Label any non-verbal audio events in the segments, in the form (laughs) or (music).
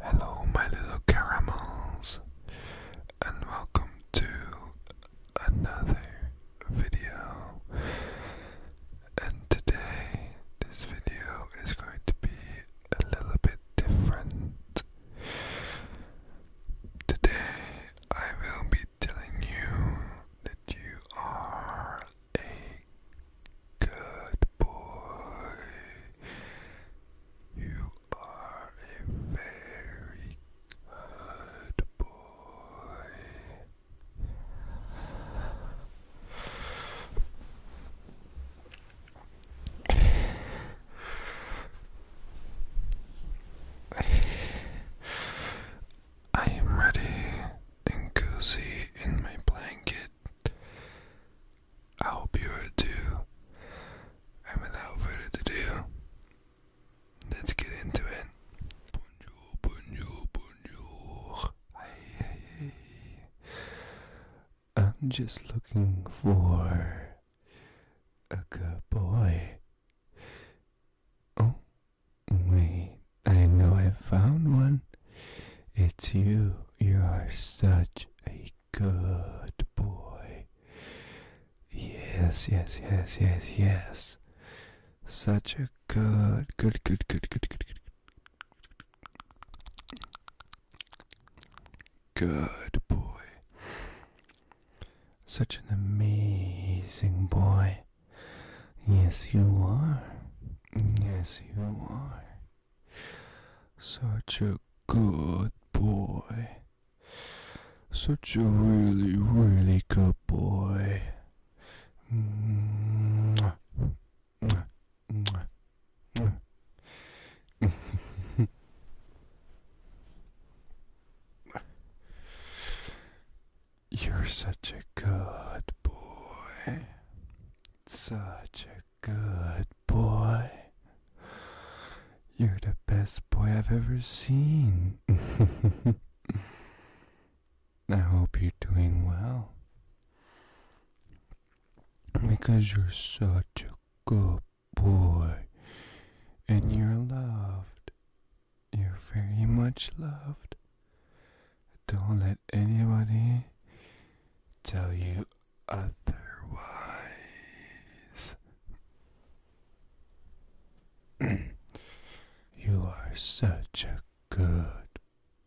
Hello, my little caramels, and welcome to another video. And today, this video is going to be a little bit different. Today, I will be telling you that you are a good boy. You are a very good boy. I am ready and cozy in my blanket. I hope you are too. And without further do. let's get into it. Bonjour, bonjour, bonjour. I'm just looking for a good boy. Oh, wait, I know I have found one. It's you. You are such a good boy. Yes, yes, yes, yes, yes. Such a good, good, good, good, good, good, good. Good boy. Such an amazing boy. Yes, you are. Yes, you are. Such a good boy. Such a really, really good boy. (laughs) You're such a good boy. Such a Good boy. You're the best boy I've ever seen. (laughs) I hope you're doing well. Because you're such a good boy. And you're loved. You're very much loved. Don't let anybody tell you Otherwise, (clears throat) you are such a good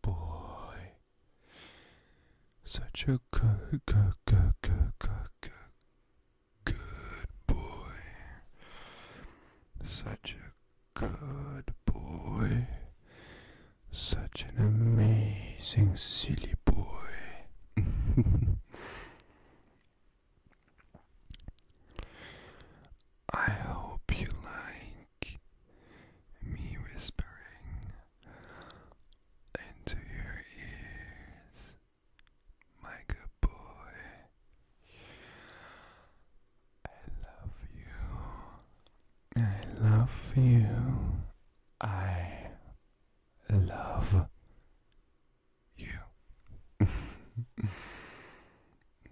boy. Such a good, good, good, good, good, good, good boy. Such a good boy. Such an amazing silly boy. (laughs) I hope you like me whispering into your ears, my good boy. I love you. I love you. I love you. (laughs)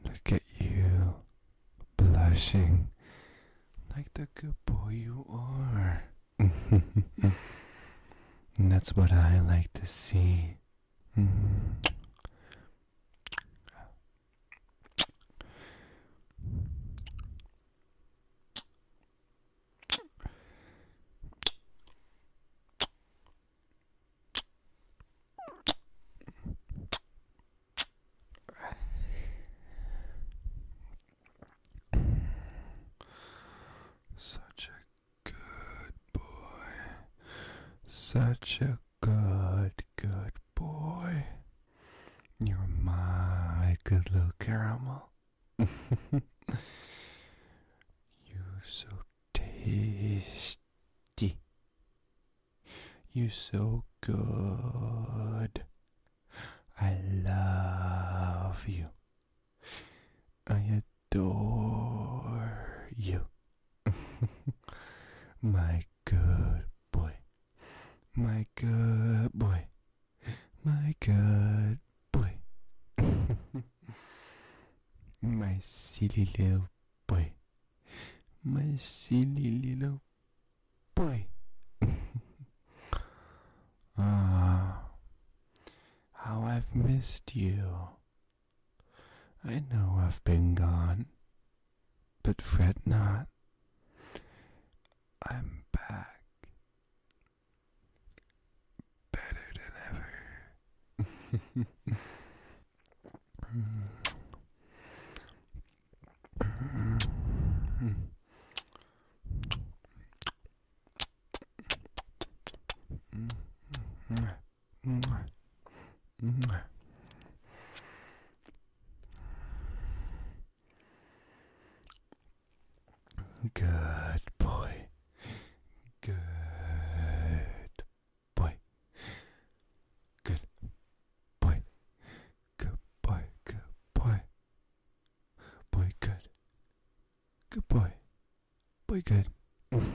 Look at you blushing like the good boy you are. and (laughs) that's what I like to see. Such a good boy. Such a good, good boy. You're my good little caramel. (laughs) You're so tasty. You're so good. I love you. I adore you. (laughs) My good boy. My good boy my good boy, (laughs) my silly little boy, my silly little boy. (laughs) ah, how I've missed you. I know I've been gone, but fret not. I'm back better than ever. Good boy. Good boy. Good boy. Good boy. Good boy. Boy good. Good boy. Boy good. (laughs)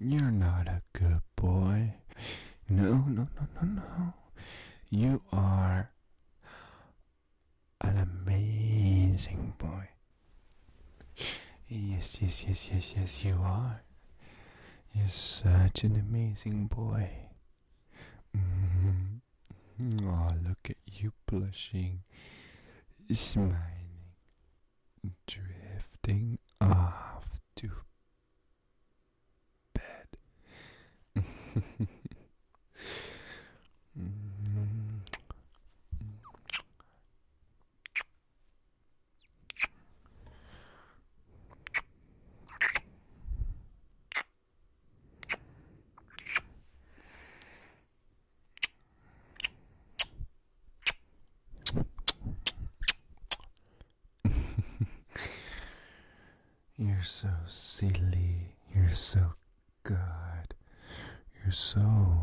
You're not a good boy. No, no, no, no, no. You are an amazing boy. Yes, yes, yes, yes, yes, you are. You're such an amazing boy. Oh, look at you blushing, smiling, drifting off to bed. (laughs) You're so silly. You're so God, You're so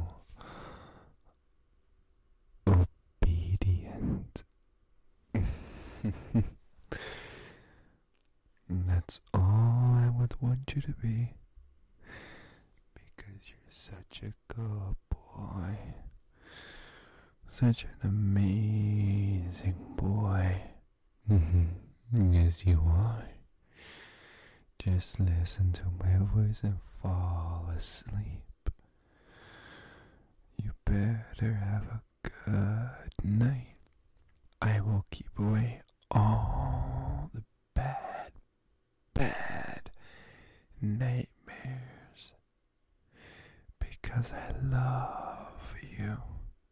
obedient. (laughs) That's all I would want you to be. Because you're such a good boy. Such an amazing boy. As mm-hmm. mm-hmm. you are. Just listen to my voice and fall asleep. You better have a good night. I will keep away all the bad, bad nightmares because I love you.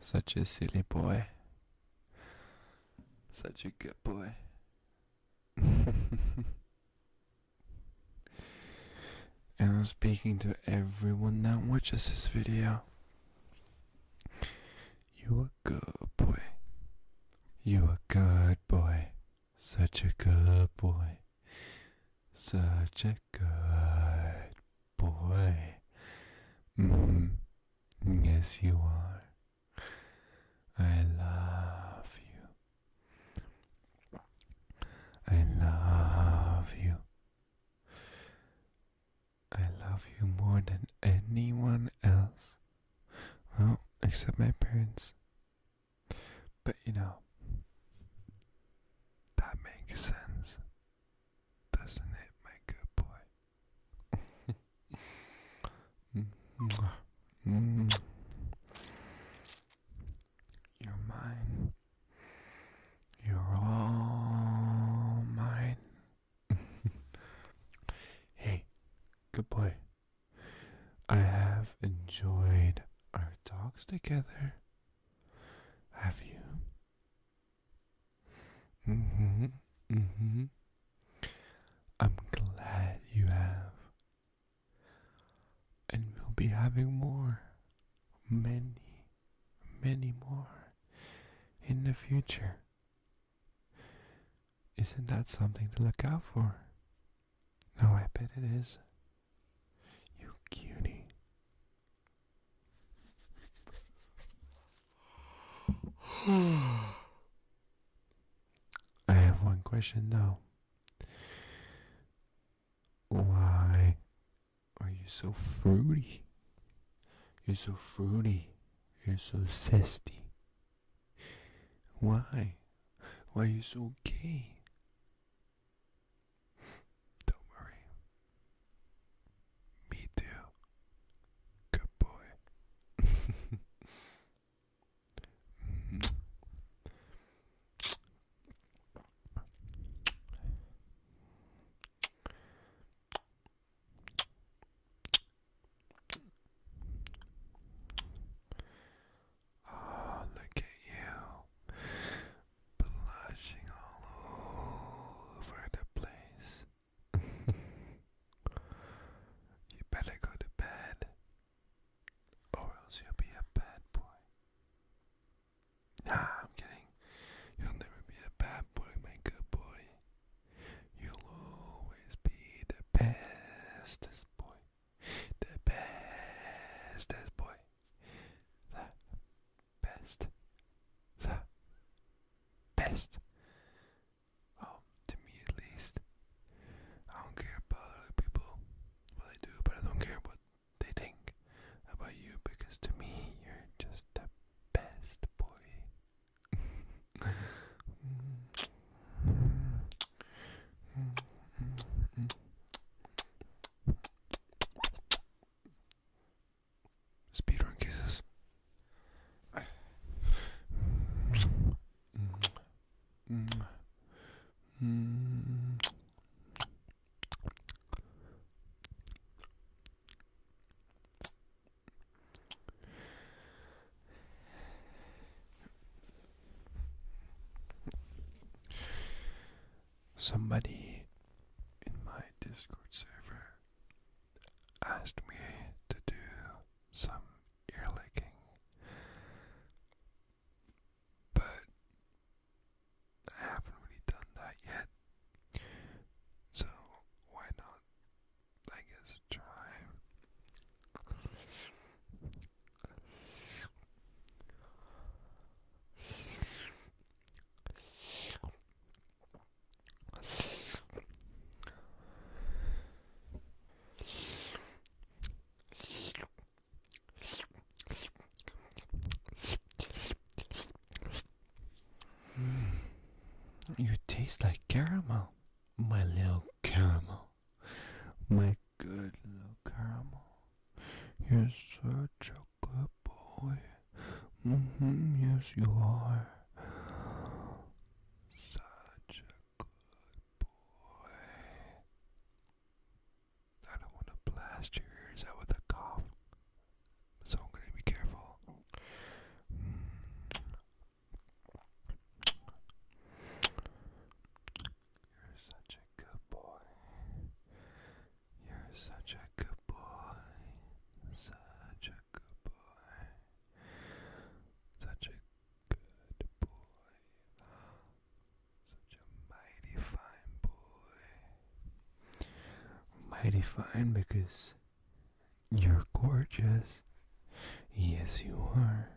Such a silly boy. Such a good boy. (laughs) and I'm speaking to everyone that watches this video. You a good boy. You a good boy. Such a good boy. Such a good boy. Mm-hmm. Yes, you are. I love you. I love you. I love you more than anyone else. Well, except my parents. But you know, that makes sense. Doesn't it, my good boy? (laughs) You're mine. You're all mine. (laughs) hey, good boy. I have enjoyed our talks together. Have you? Mm-hmm. Mm-hmm. I'm glad you have. And we'll be having more. Many, many more in the future. Isn't that something to look out for? Oh, I bet it is. You cutie. (sighs) I have one question though. Why are you so fruity? You're so fruity. You're so zesty. Why? Why are you so gay? Don't worry. Me too. Good boy. Oh, (laughs) look at you blushing all over the place. (laughs) you better go to bed, or else you'll be a bad boy. Nah, I'm kidding. You'll never be a bad boy, my good boy. You'll always be the bestest boy, the bestest boy, the best, the best. Um, to me at least, I don't care about other people, what they do, but I don't care what they think about you because to me, you're just the best boy. Speedrun kisses. Somebody in my Discord server asked me to do some ear licking, but I haven't really done that yet, so why not? I guess try. Mm, you taste like caramel, my little caramel, my good little caramel. You're so. a good boy. Mm-hmm, yes, you are. Such a good boy. I don't want to blast your ears out with a cough, so I'm going to be careful. You're such a good boy. You're such a good boy, such a good boy, such a good boy, such a mighty fine boy. Mighty fine because you're gorgeous. Yes, you are.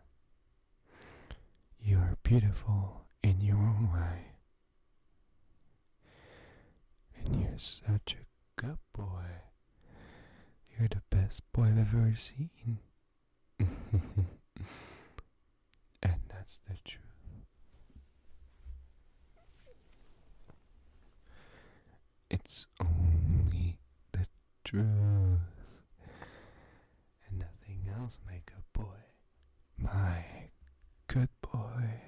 You are beautiful in your own way. And you're such a good boy. You're the best boy I've ever seen. (laughs) and that's the truth. It's only the truth. And nothing else make a boy. My Good boy.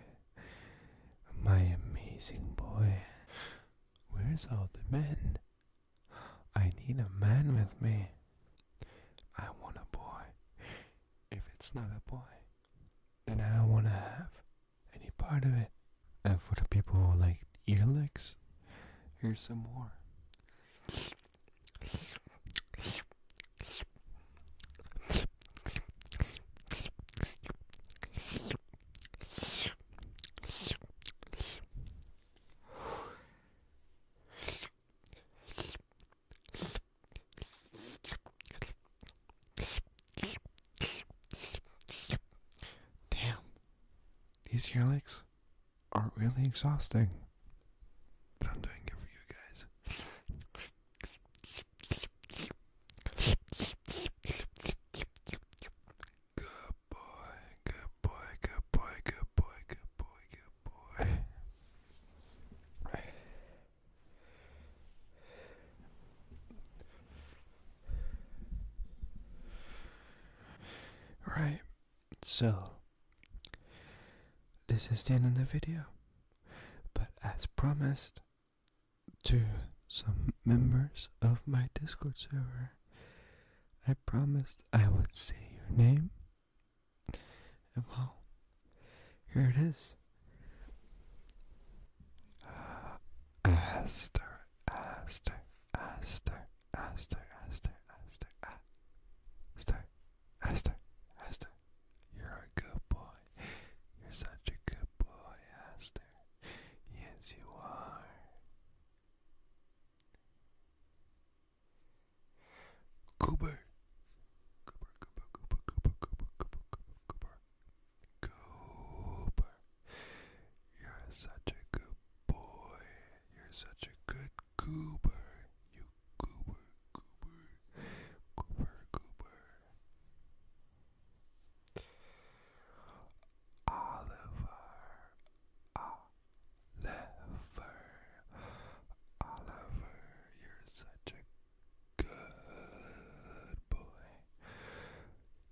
My amazing boy. Where's all the men? I need a man with me. I want a boy. If it's not a boy, then I don't want to have any part of it. And for the people who like ear here's some more. Damn, these earlicks are really exhausting, but I'm doing it for you guys boy, good boy, good boy, good boy, good boy, good boy. Right, so this is the end of the video, but as promised, to some members of my Discord server, I promised I would say your name. And well, here it is. Aster, Aster, Aster, Aster, Aster, Aster, Aster, Aster, Aster. You're a good boy. You're such a good boy, Aster. Yes, you are. Cooper. Cooper, Cooper, Cooper, Cooper, Cooper, Cooper, Cooper, Cooper. Cooper. You're such a good boy. You're such a good Cooper. You Cooper, Cooper, Cooper, Cooper. Oliver, Oliver, Oliver, you're such a good boy.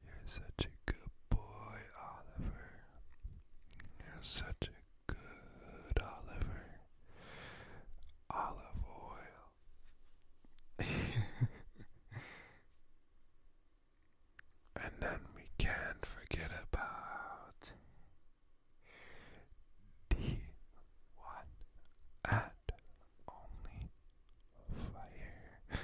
You're such a good boy, Oliver. You're such a good Oliver. Olive oil, (laughs) and then we can forget about the one and only fire.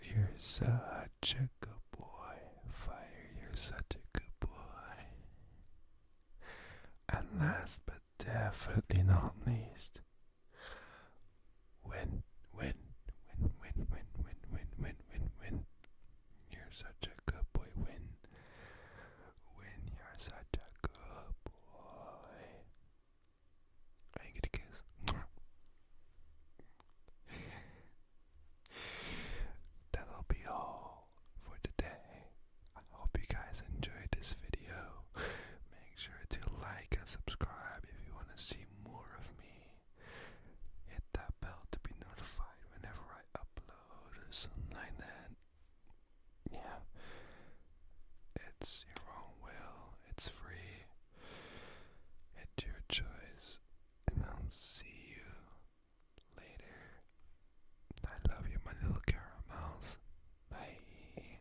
You're such a good boy, fire. You're such a good boy. And last but definitely not least, when, when, when, when, when, when, when, when, when, you're such a good boy, when, when you're such a good boy. I get a kiss. (laughs) That'll be all for today. I hope you guys enjoyed this video. Make sure to like and subscribe if you want to see more of me. Hit that bell to be notified whenever I upload something that. Yeah. It's your own will, it's free. It's your choice. And I'll see you later. I love you, my little caramels. Bye.